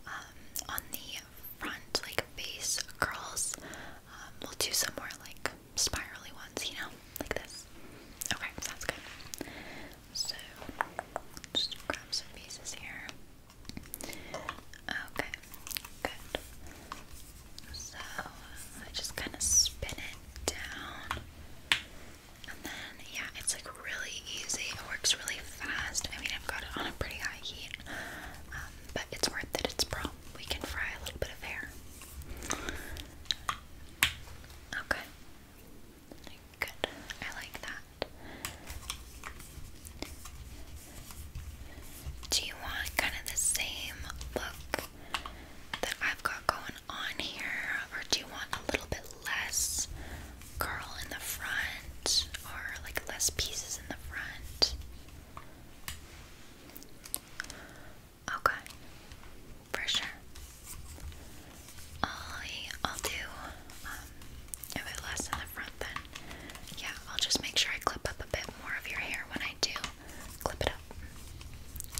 um, on the front, like face curls. Um, we'll do some more like spirally ones, you know, like this. Okay, sounds good. So just grab some pieces here. Okay, good. So I just kind of spin it down. And then, yeah, it's like really easy. It works really fast. I mean, I've got it on a pretty high heat, um, but it's worth it. It's pro. We can fry a little bit of hair. Okay. Good. I like that. Do you want kind of the same look that I've got going on here, or do you want a little bit less curl in the front, or like less pieces in the front? Okay, for sure. I'll, do, um, if less in the front then, yeah, I'll just make sure I clip up a bit more of your hair when I do clip it up.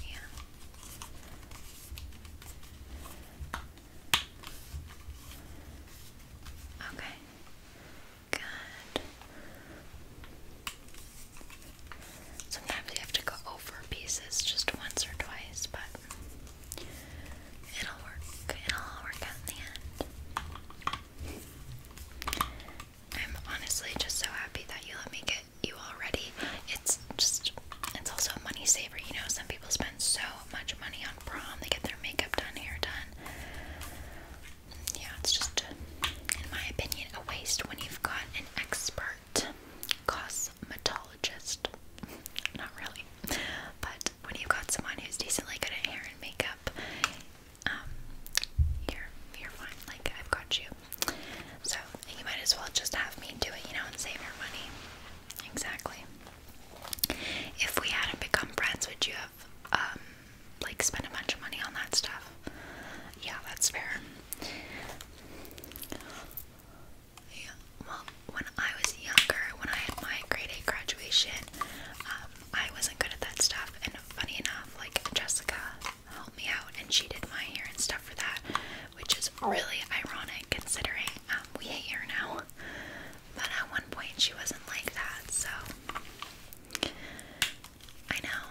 Yeah. Okay. Good. Sometimes you have to go over pieces just once or twice, but it'll work. It'll work out in the end. I'm honestly just so happy that you let me get you already. It's just, it's also a money saver. You know, some people spend so much money on prom, they get their makeup done, hair done. Yeah, it's just, in my opinion, a waste when you've got an expert cosmetologist. Not really, but when you've got someone who's decently good at hair and makeup, um, you're you're fine. Like I've got you. So you might as well just have me do it, you know, and save your money. Exactly. If we hadn't become friends, would you have um like spent a bunch of money on that stuff? Yeah, that's fair. Yeah. Well, when I was younger, when I had my grade eight graduation, um, I wasn't good at that stuff. And funny enough, like Jessica, help me out, and she did my hair and stuff for that, which is really ironic considering um, we hate her now. But at one point, she wasn't like that, so I know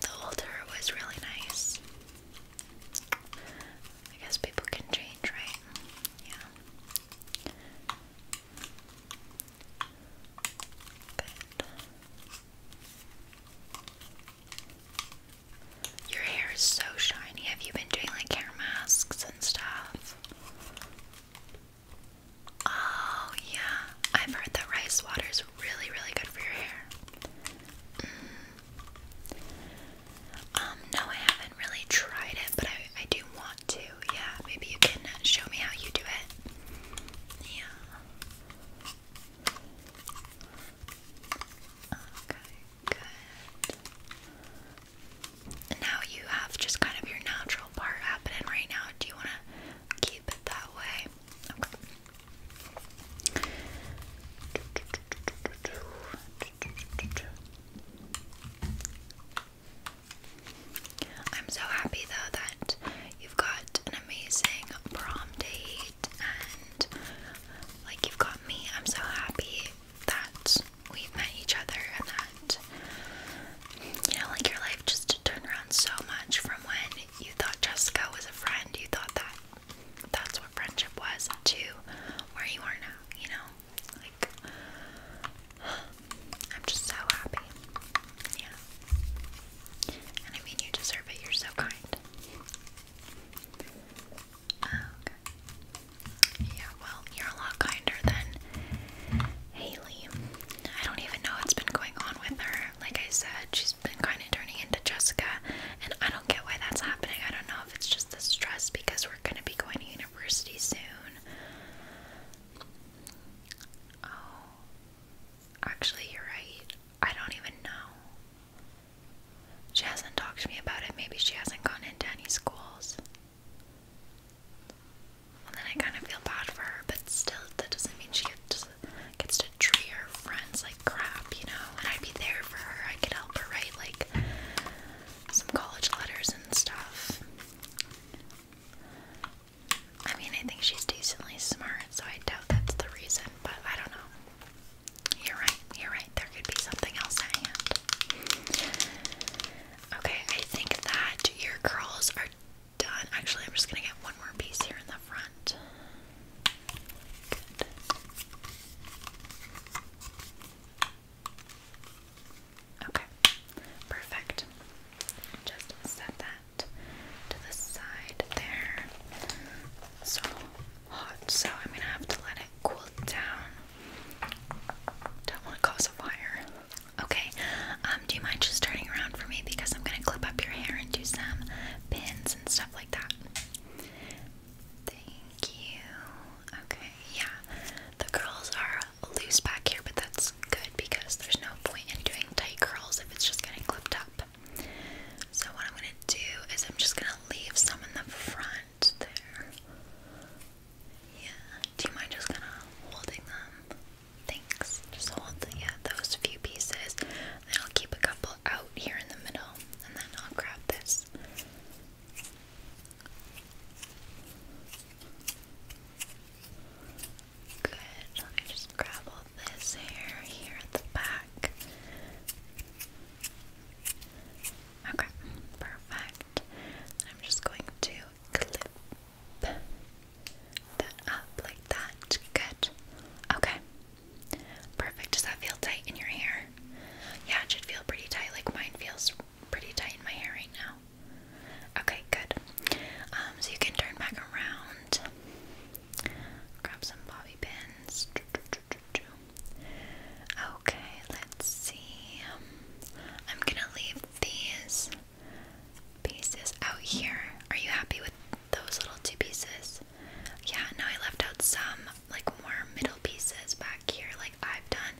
the old her was really nice. I guess people can change, right? Yeah. Your hair is so shiny. Have you been doing like hair masks and stuff? Oh, yeah. i heard that rice water is really, really good for your hair. Mm. Um, no, I haven't really tried it, but I, I do want to. Yeah, maybe you can show me how you do it. Yeah now you have just kind of your natural part happening right now. Do you want to keep it that way? I'm so happy though that You've got an amazing prom date, and like you've got me. I'm so happy that we've met each other and that you know, like your life just turned around so much from when you thought Jessica was a friend, you thought that that's what friendship was, to where you are now, you know? Like, I'm just so happy. Yeah. And I mean, you deserve it, you're so kind. Yeah, well, you're a lot kinder than Haley. I don't even know what's been going on with her. Like I said, she's been kind of turning into Jessica, and I don't get why that's happening. I don't know if it's just the stress because we're going to be going to university soon. Oh, Actually, you're right. I don't even know. She hasn't talked to me about it. Maybe she hasn't gone into any schools. And then I kind of feel bad for her, but still, that doesn't mean she gets, gets to treat her friends like crap, you know? And I'd be there for her. I could help her write, like, some college letters and stuff. I mean, I think she's decently smart, so I doubt that's the reason, but I don't know. You're right, you're right. There could be something else Okay, I think that your curls are done. Actually, I'm just gonna get one more piece here in the front. Okay, perfect. Just set that to the side there. So hot, so I'm gonna have to let it cool down. Don't want to cause a fire. Okay, um, do you mind just turning around for me because I'm gonna clip up your hair and do some pins and stuff like that. Thank you. Okay, yeah. The curls are loose back here, but that's good because there's no point in doing tight curls if it's just getting clipped up. So what I'm gonna do is I'm just gonna leave some in the front there. Yeah. Do you mind just kind of holding them? Thanks. Just hold yeah those few pieces. then I'll keep a couple out here in the middle, and then I'll grab this. Good. Let me just grab this hair here at the back. Okay, perfect. I'm just going to clip that up like that. Good. Okay. Perfect. Does that feel tight in your hair? Yeah, it should feel pretty tight. Like mine feels pretty tight in my hair right now. Okay, good. Um, so you can turn back around. Grab some bobby pins. Okay, let's see. I'm gonna leave these pieces out here. Are you happy with those little two pieces? Yeah, no, I left out some like more middle pieces back here, like I've done.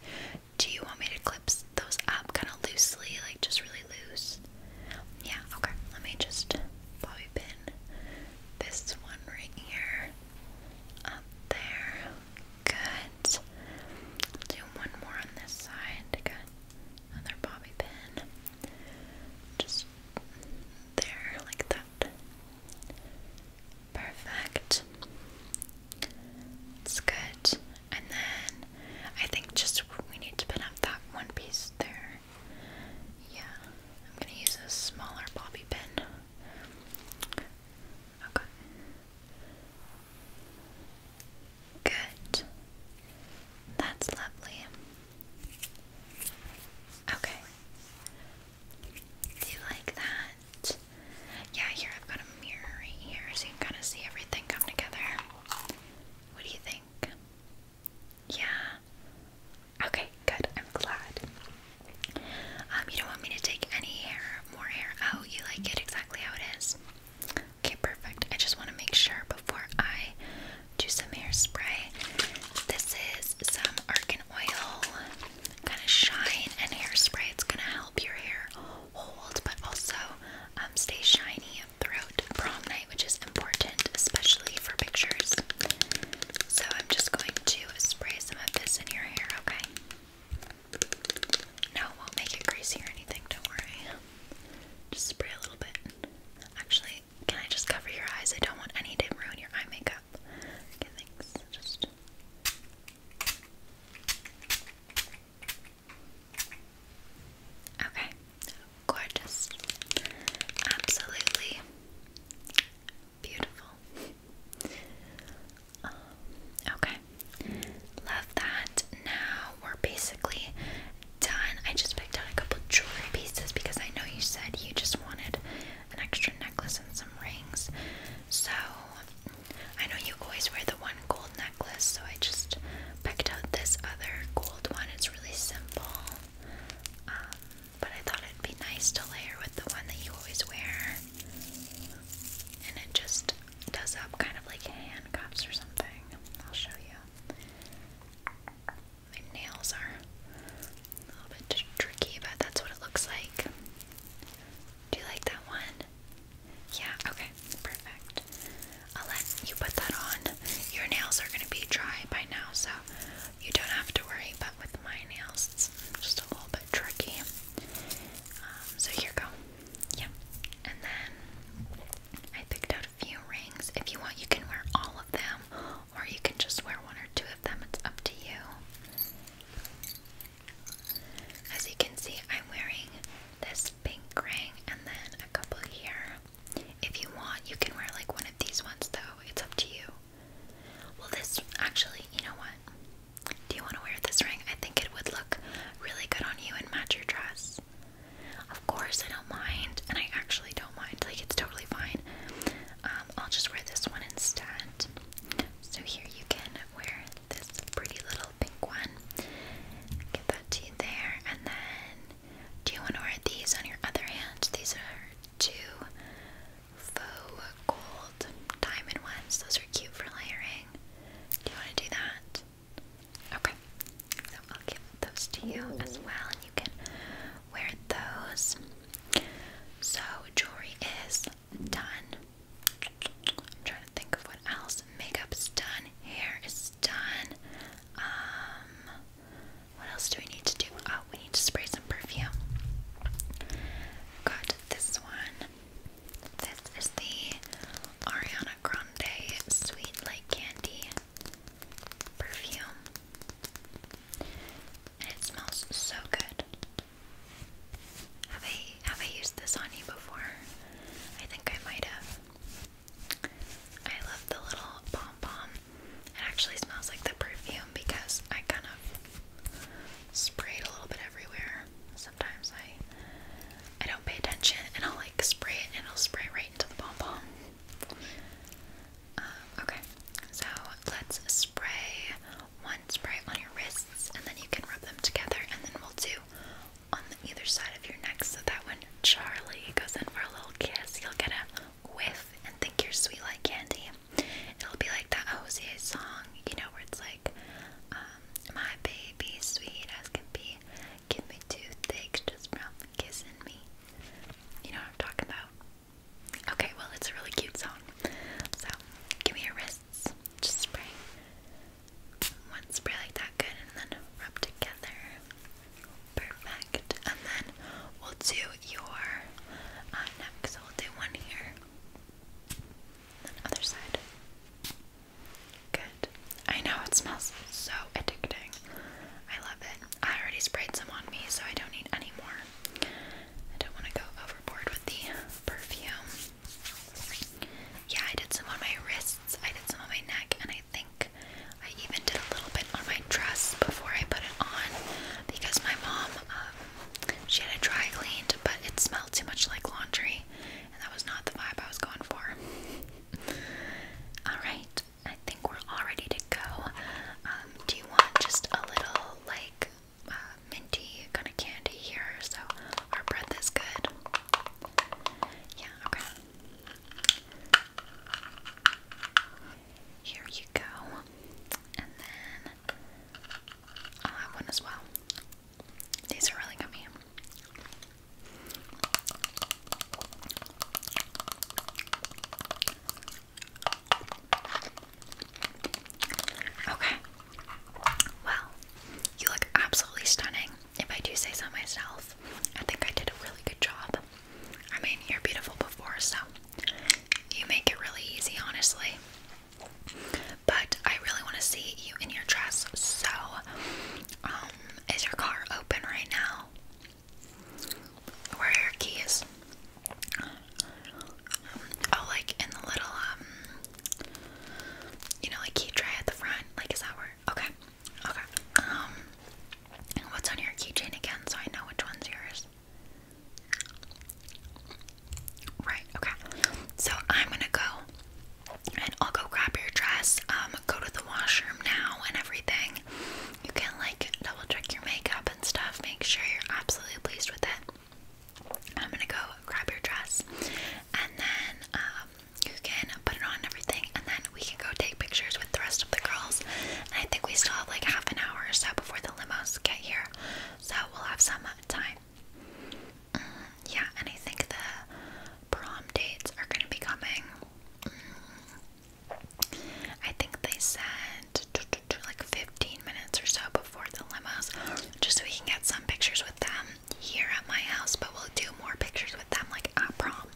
Do you want me to clip those up kind of loosely, like just really loose? Yeah, okay. Let me just bobby pin this one right here. Up there. Good. Do one more on this side. Good. Another bobby pin. Just there, like that. Perfect. It's good. And then I think just we need to pin up that one piece there. Yeah, I'm gonna use a smaller bobby pin. Okay. Good. That's lovely. Okay. Do you like that? Yeah, here I've got a mirror right here so you can kind of see everything come together. What do you think? Yeah. Okay, good. I'm glad. Um, you don't want me to take any hair, more hair out. Oh, you like it exactly how it is. Okay, perfect. I just want to make sure before I do some hairspray. This is some argan oil, kind of shine and hairspray. It's gonna help your hair hold, but also um, stay shiny throughout prom which is important, especially for pictures. So I'm just going to spray some of this in your hair, okay? No, won't make it greasy or anything, don't worry. Just spray a little bit. Actually, can I just cover your eyes? I don't want any to ruin your eye makeup. Okay, thanks. Just. Okay, gorgeous, absolutely beautiful. Um, okay, love that. Now we're basically done. I just picked out a couple jewelry pieces because I know you said you just wanted an extra necklace and some rings. So I know you always wear the one gold necklace, so I just picked out this other gold one. It's really simple. Um, but I thought it'd be nice to layer with the one that you always wear. And it just does up kind of like handcuffs or something. I'll show you. My nails are a little bit tricky, but that's what it looks like. Do you like that one? Yeah, okay, perfect. I'll let you put that on. Your nails are going to be dry by now, so you don't have to worry, but with my nails, it's just a little bit tricky. Um, so here go. Yeah. And then I picked out a few rings. If you want, you can wear all of them, or you can just wear one or two of them. It's up to you. As you can see, I'm wearing this pink ring and then a couple here. If you want, you can wear like one of these ones though. It's up to you. Well, this actually, you know what? Do you want to wear this ring? I think it would look really good on you and match your dress. Of course, I don't mind, and I actually don't mind. Like, it's totally fine. Um, I'll just wear this one instead. So, here you can wear this pretty little pink one. Give that to you there, and then do you want to wear these on your other hand? These are two faux gold diamond ones. Those are cute for layering. Do you want to do that? Okay, so I'll give those to you as well, and you can wear those. So, jewelry is done. I'm trying to think of what else. Makeup's done, hair is done. Um, what else do we need to do? Oh, we need to spray some perfume. Got this one. This is the Ariana Grande Sweet Like Candy perfume. it smells so good. Have I have I used this on you before? I think I might have. I love the little pom pom it actually smells like the perfume because I kind of spray it a little bit everywhere. Sometimes I I don't pay attention and I'll like spray it and it'll spray right into the bomb bomb. Um, okay, so let's spray one spray on your wrists and then you can rub them together and then we'll do on the either side of your neck so that when Charlie goes in for a little kiss, you'll get a whiff and think you're sweet like candy. It'll be like that Jose song, you know, where it's like, um, my baby, sweet as can be, give me two things just from kissing me. You know what I'm talking about? Okay, well, it's a really cute song. So, give me your wrists. Just spray. One spray like that, good, and then rub together. Perfect. And then we'll do your uh, neck. So we'll do one here, then other side. Good. I know it smells so addicting. I love it. I already sprayed some on me, so I don't need any more. I don't want to go overboard with the perfume. Yeah, I did some on my wrists, I did some on my neck, and I think I even did a little bit on my dress before I put it on because my mom, um, she had it dry cleaned, but it smelled too much like laundry, and that was not the vibe I was going for. Alright, I think we're all ready to go. Um, do you want just a little, like, uh, minty kind of candy here so our breath is good? Yeah, okay here you go. And then I'll oh, have one as well. These are really yummy. Okay. Well, you look absolutely stunning. If I do say so myself, I think I did a really good job. I mean, you're beautiful before, so you make it really easy, honestly. But I really want to see you in your dress, so um, is your car open right now? Where are your keys? Oh, like in the little, um, you know, like key tray at the front. Like, is that where? Okay, okay. Um, what's on your keychain again so I know which one's yours? Right, okay. So I'm gonna go and I'll go grab your dress. Um, go to the washroom now and everything. You can like double check your makeup and stuff, make sure you're absolutely pleased with it. I'm gonna go grab your dress and then um you can put it on and everything and then we can go take pictures with the rest of the girls. And I think we still have like half an hour or so before the limos get here, so we'll have some time. Mm, yeah, and I think the prom dates are going to be coming. Mm, I think they said like 15 minutes or so before the limos, just so we can get some pictures with them here at my house, but we'll do more pictures with them like at prom.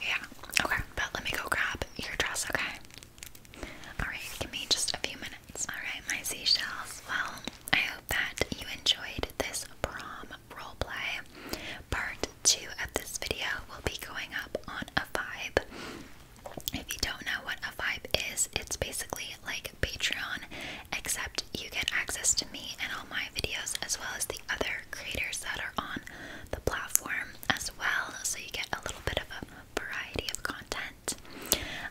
Yeah, okay, but let me go grab your dress, okay? Alright, give me just a few minutes. Alright, my seashells. Well, I hope that you enjoyed this prom roleplay. Part 2 of this video will be going up on a vibe. If you don't know what a vibe is, it's basically like Patreon, except you get access to me and all my videos, as well as the other creators that are on the platform as well. So you get a little bit of a variety of content.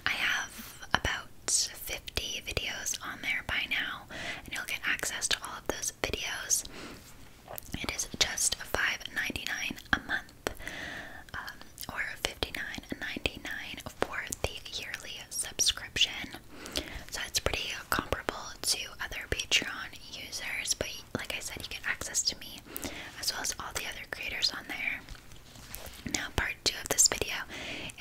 I have about 50 videos on there by now, and you'll get access to all of those videos. It is just $5.99 a month, um, or $59.99 for the yearly subscription. So it's pretty comparable to other Patreon users, but like I said, you get access to me as well as all the other creators on there. Now, part two of this video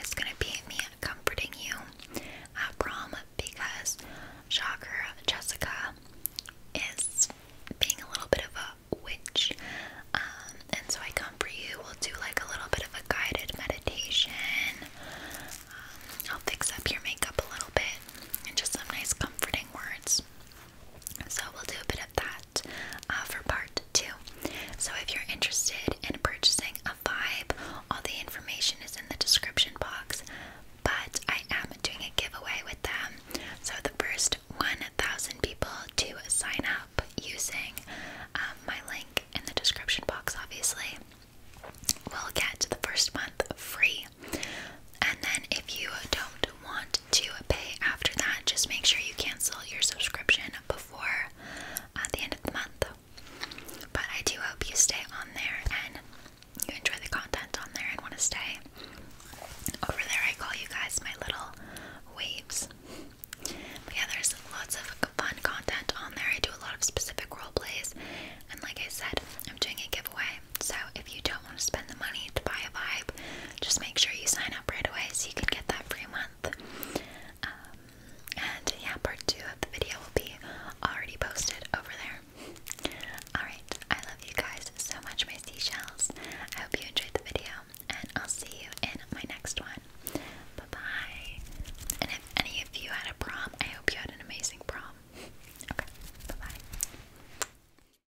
is going to be me comforting you at prom because shocker, Jessica is being a little bit of a witch. Um, and so I comfort you. We'll do like a little bit of a guided meditation. Um, I'll fix up your makeup a little bit and just some nice comforting words. So we'll do a bit of that uh, for part two. So if you're interested in purchasing a vibe, all the information is in the description box. But I am doing a giveaway with them. So the first 1,000 people to sign up using um, my link in the description box, obviously, will get the first month free. And then if you don't want to pay after that, just make sure you cancel your subscription before at uh, the end of the month. But I do hope you stay on there and you enjoy the content on there and want to stay. Over there, I call you guys my little waves. yeah, there's lots of fun content on there. I do a lot of specific role plays, and like I said, I'm doing a giveaway. So if you don't don't want to spend the money to buy a vibe, just make sure you sign up right away so you can get that free month. Um, and yeah, part two of the video will be already posted over there. Alright, I love you guys so much, my seashells. I hope you enjoyed the video, and I'll see you in my next one. Bye bye. And if any of you had a prom, I hope you had an amazing prom. Okay, bye bye.